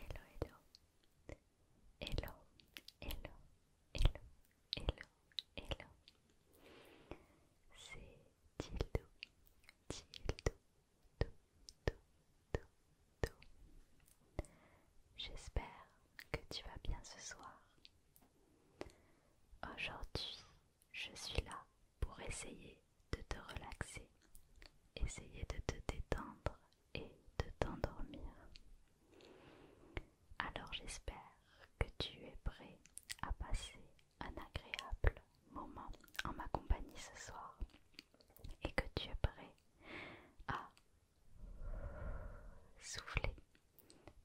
Hello, hello. Hello, hello, hello, hello, hello. C'est Tildo, Tildo, do, do, J'espère que tu vas bien ce soir. Aujourd'hui, je suis là pour essayer de te relaxer, essayer de te détendre et de t'endormir. Alors j'espère que tu es prêt à passer un agréable moment en ma compagnie ce soir et que tu es prêt à souffler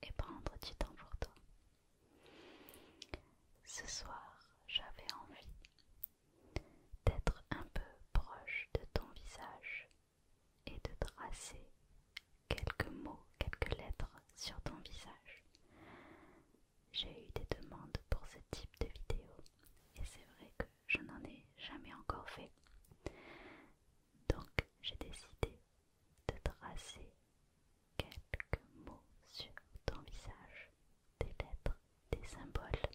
et prendre du temps pour toi. Ce soir, j'avais envie d'être un peu proche de ton visage et de tracer quelques mots, quelques lettres sur ton visage. J'ai eu des demandes pour ce type de vidéo et c'est vrai que je n'en ai jamais encore fait. Donc j'ai décidé de tracer quelques mots sur ton visage, des lettres des symboles.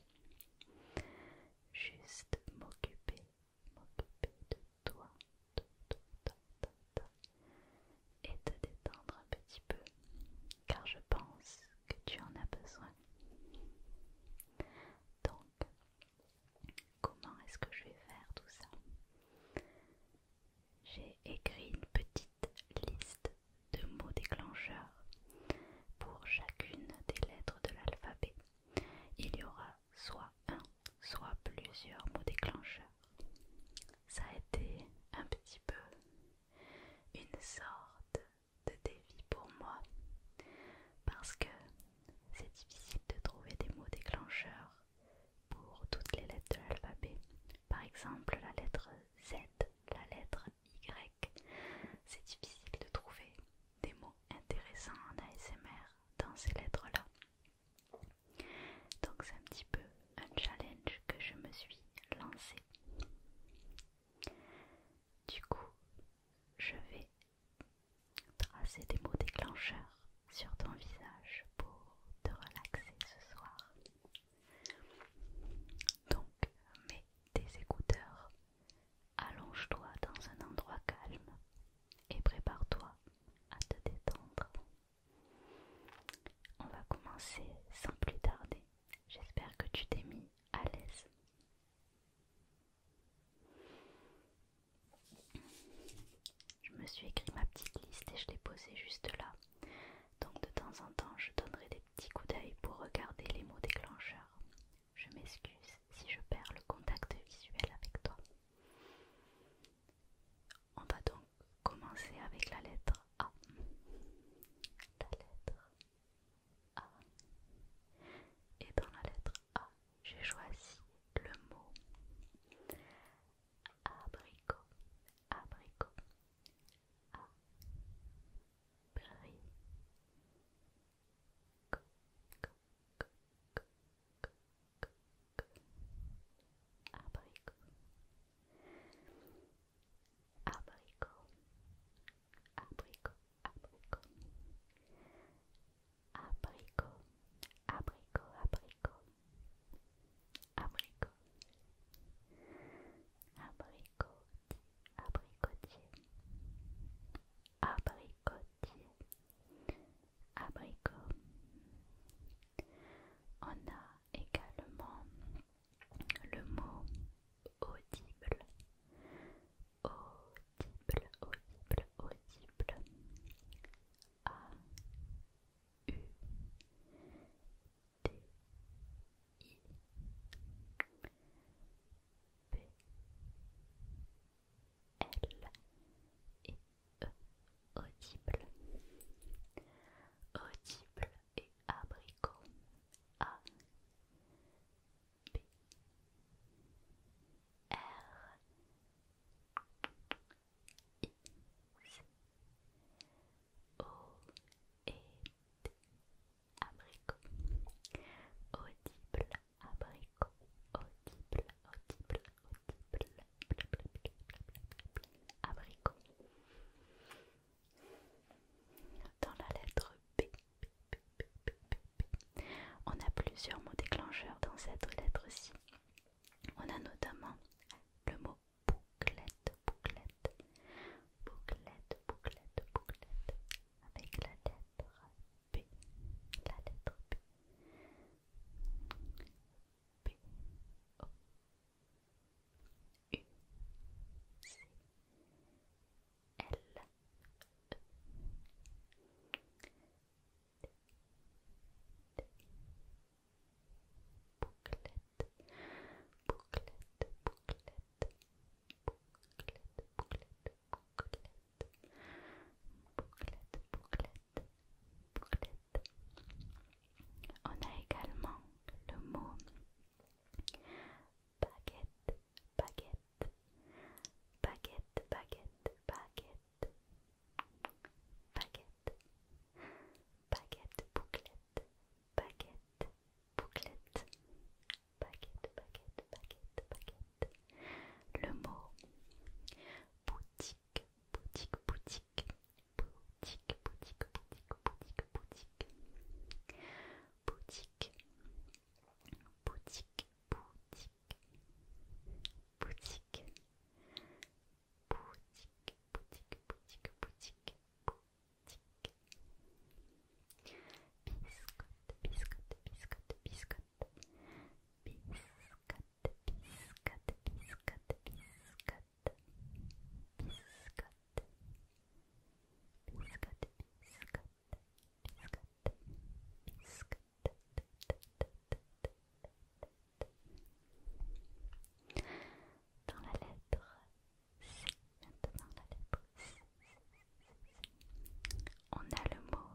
Juste m'occuper, m'occuper de toi, et te détendre un petit peu, car je pense que tu en as besoin. Donc, comment est-ce que je vais faire tout ça J'ai écrit une petite liste de mots déclencheurs pour chacune des lettres de l'alphabet, il y aura soit un, soit plusieurs mots déclencheurs. Ça a été un petit peu une sorte de défi pour moi parce que c'est difficile de trouver des mots déclencheurs pour toutes les lettres de l'alphabet. Par exemple, la lettre Z, la lettre Y, c'est difficile de trouver des mots intéressants en ASMR dans ces lettres-là. Donc c'est un petit peu un challenge que je me suis lancé Du coup, je vais tracer des mots déclencheurs sur ton visage pour te relaxer ce soir. Donc mets tes écouteurs Allonge-toi dans un endroit calme et prépare-toi à te détendre. On va commencer sans plus tarder. J'espère que tu t'es mis à l'aise. Je me suis écrit ma petite liste et je l'ai posée juste là. Donc de temps en temps, je donnerai des petits coups d'œil pour regarder les mots déclencheurs je m'excuse si je perds le contact visuel avec toi. On va donc commencer avec la lettre A. La lettre A. Et dans la lettre A, j'ai choisi le mot abricot. Abricot. abricot abricot abricot abricot abricot abricot abricot abricot abricotier abricotier, abricot. On a également le mot audible, audible, audible, audible. A U D I B L et E audible audible et abricot A B R I C O et abricot, audible, abricot, audible, audible, audible, abricot. Dans la lettre B, on a plusieurs mots déclencheurs dans cette lettre-ci. On a notamment le mot bouclette, bouclette, bouclette, bouclette, avec la lettre B. La lettre B. B. O. U. C. L. E. D. D. Bouclette, bouclette, bouclette, bouclette, bouclette, bouclette, bouclette, bouclette, bouclette. On a également le mot baguette, baguette, baguette, baguette, baguette, baguette, baguette, bouclette, baguette, bouclette baguette, baguette, baguette, baguette. Le mot boutique, boutique, boutique, boutique, boutique, boutique, boutique, boutique, boutique, boutique, boutique, boutique, boutique, boutique, boutique, boutique. Biscotte, biscotte, biscotte, biscotte, biscotte, biscotte, biscotte, biscotte, biscotte, biscotte, biscotte. Biscotte, dans la lettre C, maintenant la lettre on a le mot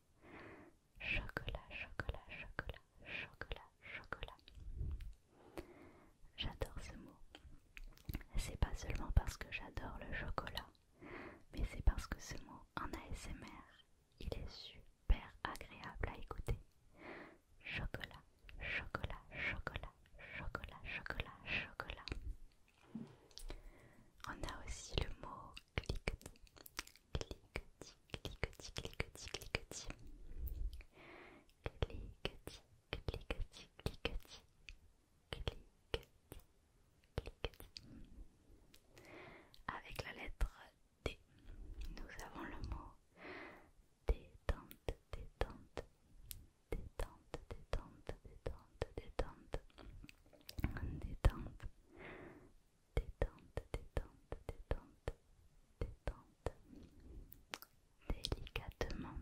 Chocolat, chocolat, chocolat, chocolat, chocolat. J'adore ce mot. C'est pas seulement parce que j'adore le chocolat, mais c'est parce que ce mot en ASMR, il est super agréable à écouter. Chocolat, chocolat, chocolat, chocolat, chocolat, chocolat. On a aussi le mot clic cliquetis, clique Avec la lettre D, nous avons le mot détente, détente, détente, détente, détente, détente, détente, détente, détente, détente, détente, détente, délicatement,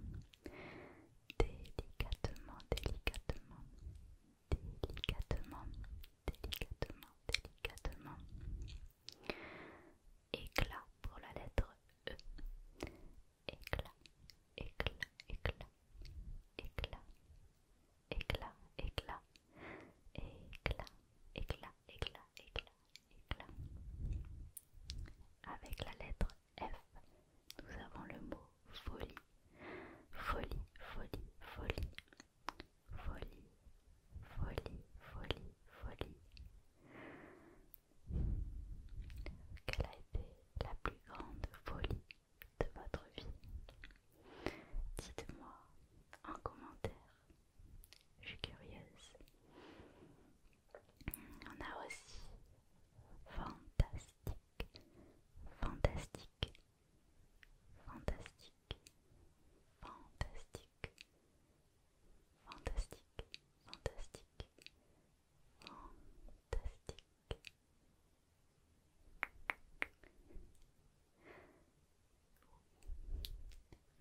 délicatement, délicatement, délicatement, délicatement, délicatement, éclat pour la lettre E, éclat, éclat, éclat, éclat, éclat, éclat. Éclat, éclat, éclat, éclat, éclat. Avec la lettre F, nous avons le mot folie. Folie, folie, folie. Folie, folie, folie, folie. Quelle a été la plus grande folie de votre vie Dites-moi en commentaire je suis curieuse. On a aussi fantastique, fantastique, fantastique, fantastique, fantastique, fantastique, fantastique.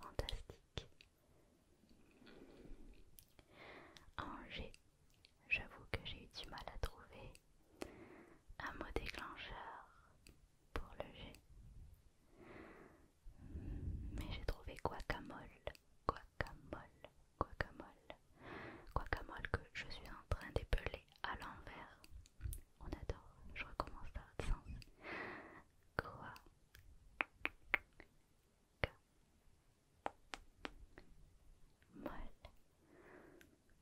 Fantastique. G, j'avoue que j'ai eu du mal à trouver un mot déclencheur pour le G. Mais j'ai trouvé guacamole, guacamole, guacamole, guacamole que je suis en train d'épeler à l'envers. On adore, je recommence par absence. Quoi Molle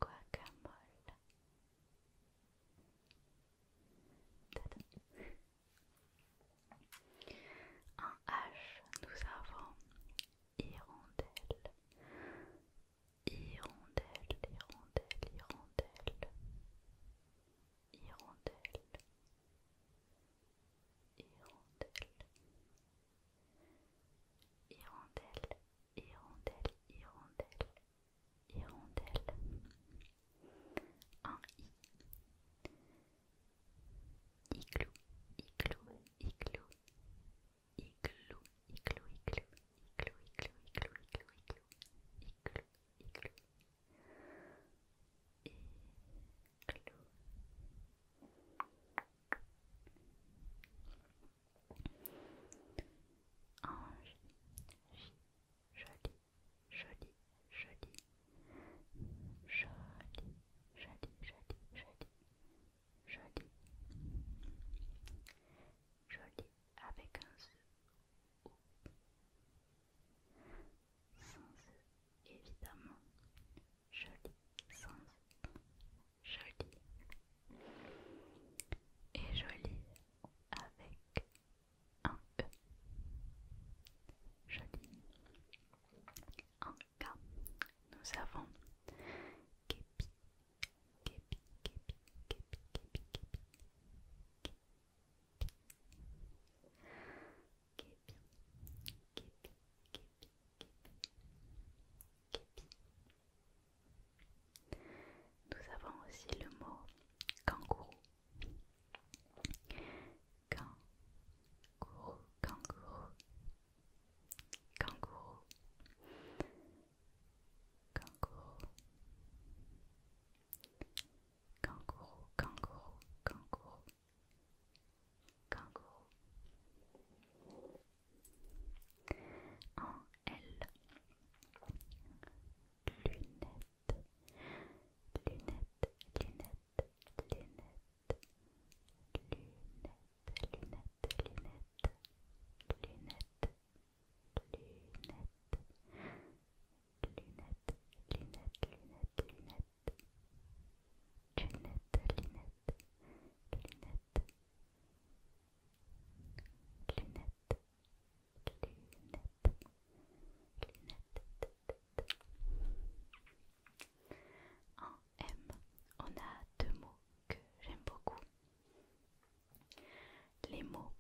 Guacamole Un En H, nous avons hirondelle, hirondelle, hirondelle, hirondelle. Hirondelle, hirondelle, hirondelle, hirondelle, hirondelle, hirondelle, un i, et joli, joli, joli, joli, joli, joli, joli, joli, joli avec un Z sans évidemment. Joli sans joli. Et joli avec un E. Joli. En cas, nous avons Képi, Képi, Képi, Képi, Képi, Képi, Képi, nous avons aussi le mot kangourou. Kangourou, kangourou, kangourou, kangourou, kangourou, kangourou, kangourou, kangourou. En L, lunette, lunette, lunette, lunette, lunette, lunette, lunette, lunette. Lunette, lunettes, lunettes, lunettes, lunettes, lunettes, lunettes, lunettes, lunettes, lunettes. En M, on a deux mots que j'aime beaucoup. Les mots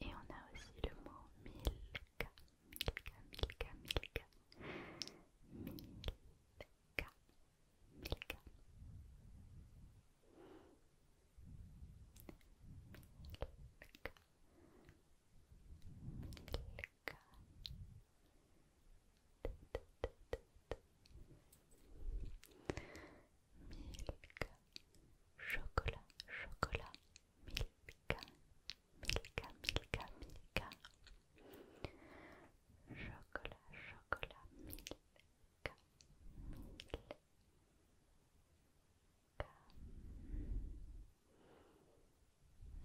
Et on a aussi le mot Milka, Milka, Milka, Milka, Milka, Milka milk, chocolat, chocolat, milka, milka, milka, milka, chocolat, chocolat, milka, milka, milka,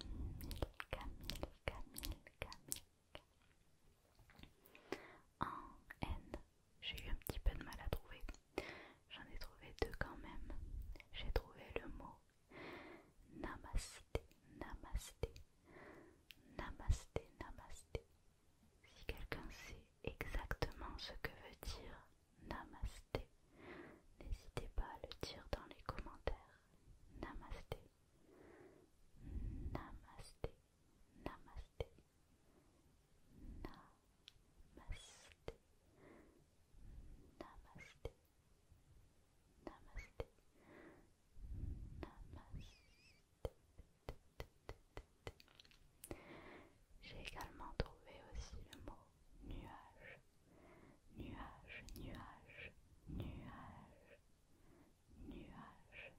milka, en N j'ai eu un petit peu de mal à trouver. J'en ai trouvé deux quand même. J'ai trouvé le mot namasté, namasté, namasté, namasté. Si quelqu'un sait exactement ce que veut dire namasté, n'hésitez pas à le dire dans les commentaires. Namasté, namasté, namasté. J'ai également trouvé aussi le mot nuage. Nuage, nuage, nuage, nuage,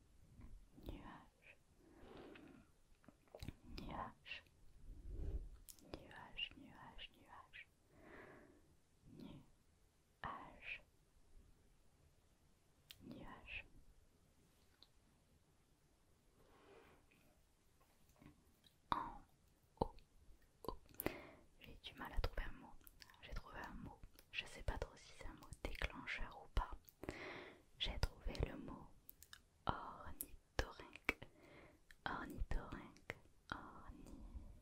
nuage nuage, nuage, nuage, nuage, nuage, nuage. En haut, J'ai du mal à trouver un mot. J'ai trouvé un mot. Je sais pas trop si c'est un mot déclencheur ou pas. J'ai trouvé le mot orni ornithorynque, ornithorynque, ornithorynque,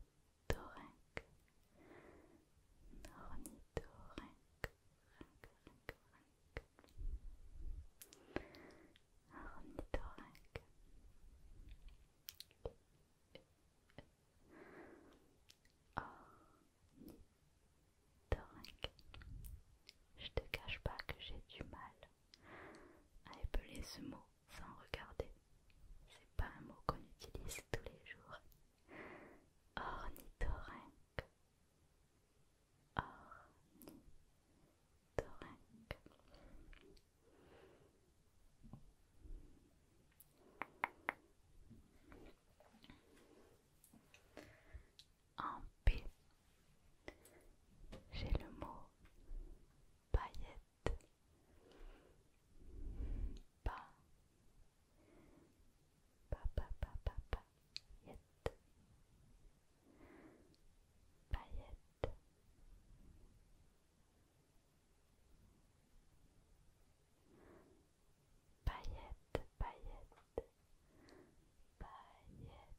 ornithorynque, ornithorynque, ornithorynque. Je te cache pas que j'ai du mal à épeler ce mot sans regarder. C'est pas un mot qu'on utilise tous les jours. Ornithorynque. En P. J'ai le mot paillette. Pa pa pa pa pa paillette. Paillette. Paillette, paillette, paillette.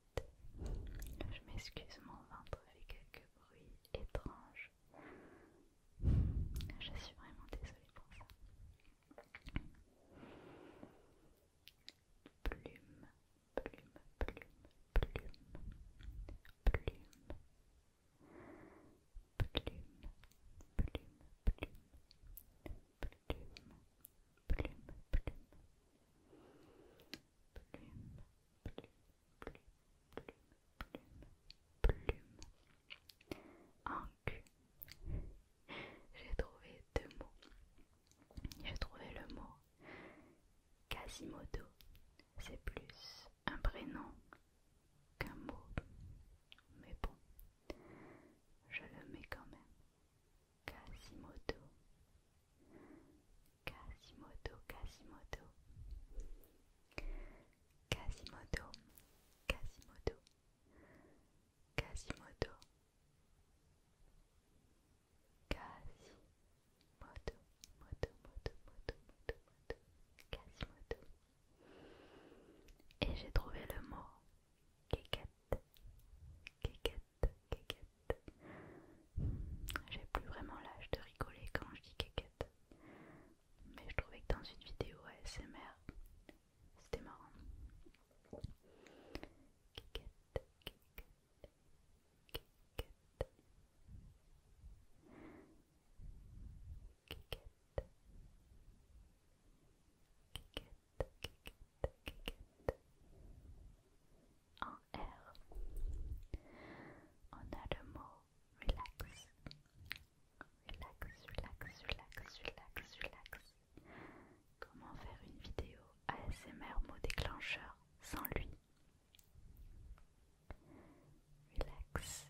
Je m'excuse, mon ventre avec quelques bruits étranges. Je suis vraiment désolée pour ça. Plume, plume, plume, plume, plume, plume, plume, plume, plume, plume, plume plume, plume, plume, plume, plume. En cul, j'ai trouvé deux mots. J'ai trouvé le mot Quasimodo. C'est plus un prénom qu'un mot. Mais bon, je le mets quand même. Quasimodo. Quasimodo, Quasimodo. Quasimodo, Quasimodo. Quasimodo. moto, moto, moto, moto, moto. Et j'ai trouvé le mot j'ai plus vraiment l'âge de rigoler quand je dis kékette. Mais je trouvais que dans une vidéo ASMR, c'était marrant en R. On a le mot relax. Relax, relax, relax, relax, relax. Comment faire une vidéo ASMR mot déclencheur sans lui Relax,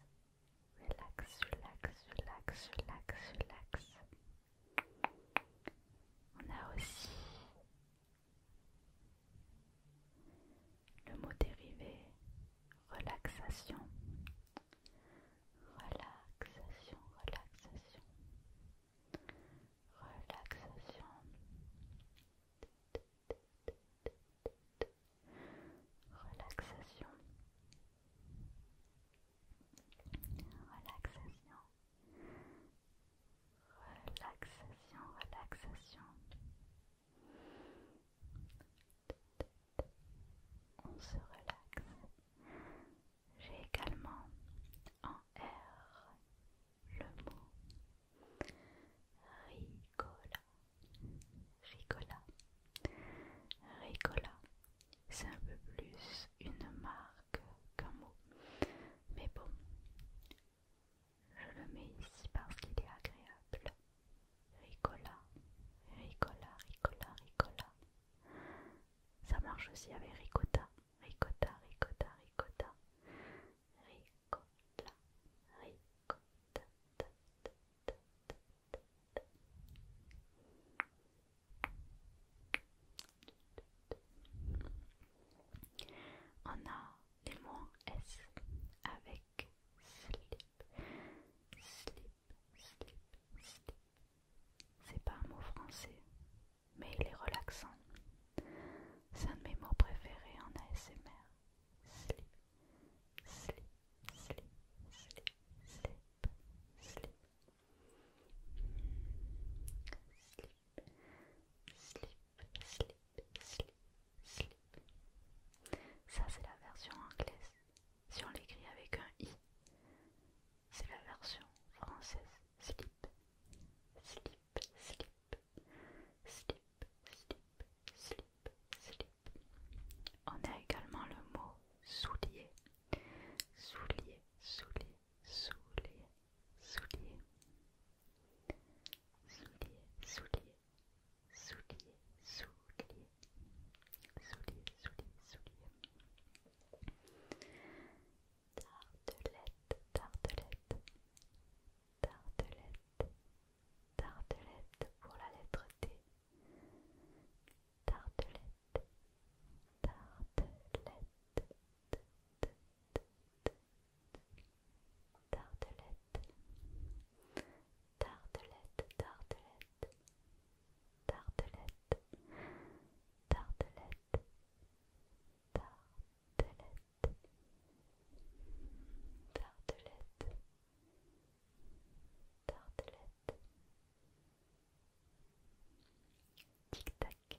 relax, relax, relax, relax, relax. On a aussi le mot dérivé, relaxation. Relaxation, relaxation. Relaxation. Relaxation. Relaxation. Relaxation relaxation, relaxation. On se relaxe. J'ai également en R le mot ricola. Ricola. Ricola. C'est un peu plus une marque qu'un mot. Mais bon, je le mets ici parce qu'il est agréable. Ricola, ricola, ricola, ricola. Ça marche aussi avec ricotta, ricotta, ricotta, ricotta. Ricotta, ricotta. On a les mots en S avec slip, slip, slip, slip. C'est pas un mot français, mais il est relaxant. C'est un de mes mots préférés en ASMR. Slip, slip, slip, slip, slip, slip. Slip, slip, slip, slip, slip. Ça, c'est la version anglaise. Si on l'écrit avec un i, c'est la version française. Slip, slip, slip, slip, slip, slip, slip. On a également le mot soulier. Soulier, soulier, soulier, soulier. Soulier, souliers, souliers, souliers, souliers, souliers, soulier. Tartelette, tartelette, tartelette, tartelette pour la lettre T. Tartelette, tartelette, tartelette, tartelette, tartelette, tartelette, tartelette, tartelette, tartelette, tartelette. Tic tac,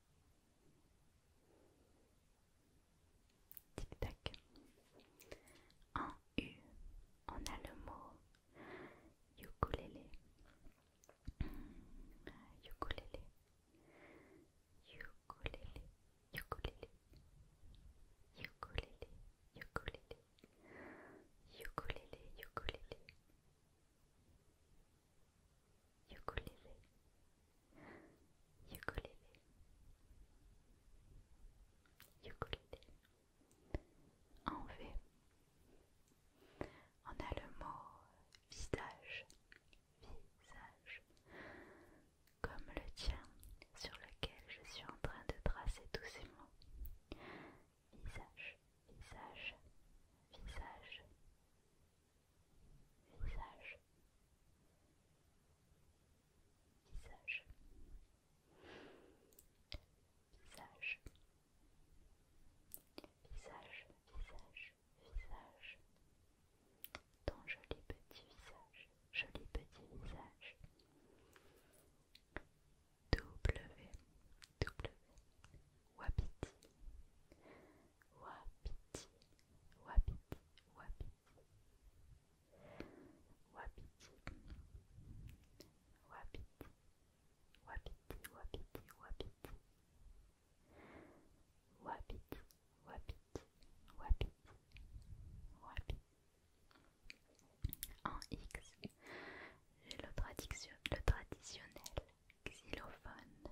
Tic-tac. En U, on a le mot ukulélé. Ukulélé. Ukulélé. Ukulélé. Ukulélé. Ukulélé. Ukulélé. Ukulélé ukulélé, ukulélé, ukulélé. En V, on a le mot visage, visage, comme le tien sur lequel je suis en train de tracer tous ces mots. Visage, visage, visage, visage visage visage visage visage visage ton joli petit visage joli petit visage W W Wapiti, wapiti, wapiti. Wapiti, wapiti, wapiti, wapiti, wapiti. Wapiti, wapiti, wapiti, En X, j'ai le traditionnel xylophone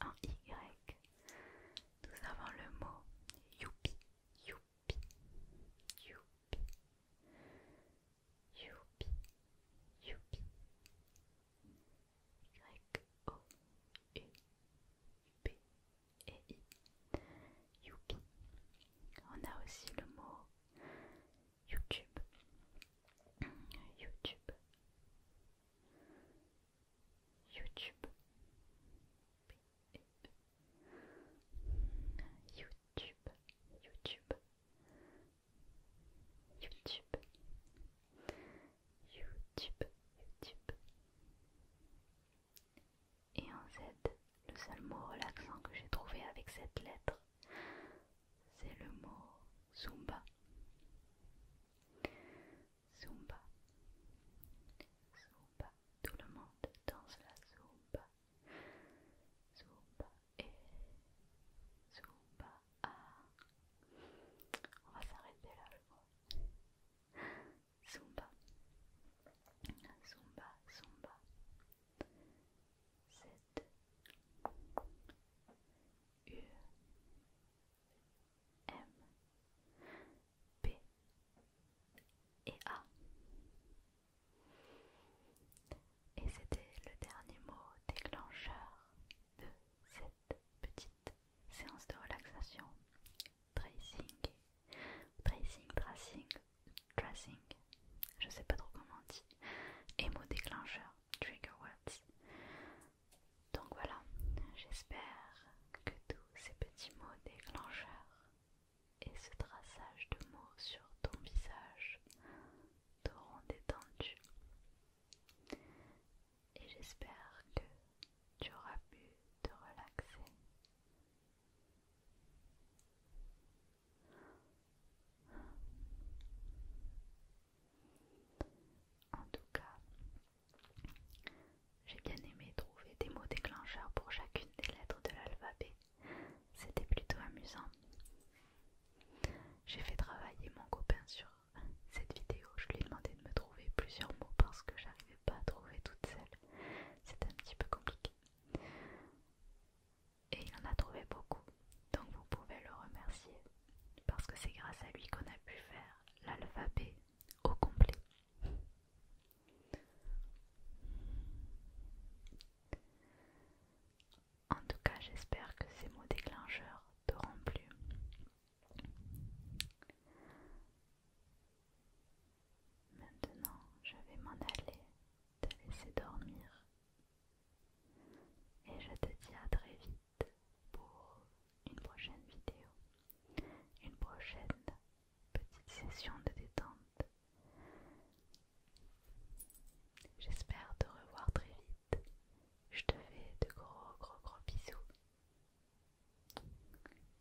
En Y, nous avons le mot youpi, youpi, Yuppi, youpi, youpi. Yuppi, O, U, P et I. On a aussi le mot YouTube. YouTube. YouTube. YouTube. YouTube. YouTube. YouTube. YouTube. Et en Z, le seul mot relaxant que j'ai trouvé avec cette lettre, c'est le mot Zumba. Zumba. Zumba. Tout le monde danse la Zumba. Zumba et Zumba. On va s'arrêter là, je crois. Zumba. Zumba, Zumba. Z U M P et A. Et c'était le dernier mot déclencheur de cette petite séance de relaxation. Tracing, tracing, tracing, Dressing, je sais pas trop comment on dit, et mots déclencheurs, trigger words. Donc voilà, j'espère que tous ces petits mots déclencheurs et ce traçage de mots sur ton visage t'auront détendu. Et j'espère que tu auras pu te relaxer. En tout cas, j'ai bien aimé trouver des mots déclencheurs pour chacune des lettres de l'alphabet. C'était plutôt amusant. J'ai fait travailler mon copain sur cette vidéo. Je lui ai demandé de me trouver plusieurs mots parce que j'arrivais pas à trouver toutes celles. C'était un petit peu compliqué et il en a trouvé beaucoup. Donc vous pouvez le remercier parce que c'est grâce à lui qu'on a pu faire l'alphabet au complet. En tout cas, j'espère que ces mots déclencheurs t'auront plu. Maintenant, je vais m'en aller, te laisser dormir et je te dis à très vite pour une prochaine vidéo, une prochaine petite session de détente. J'espère te revoir très vite. Je te fais de gros gros gros bisous.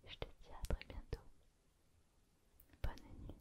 Je te dis à très bientôt. Bonne nuit.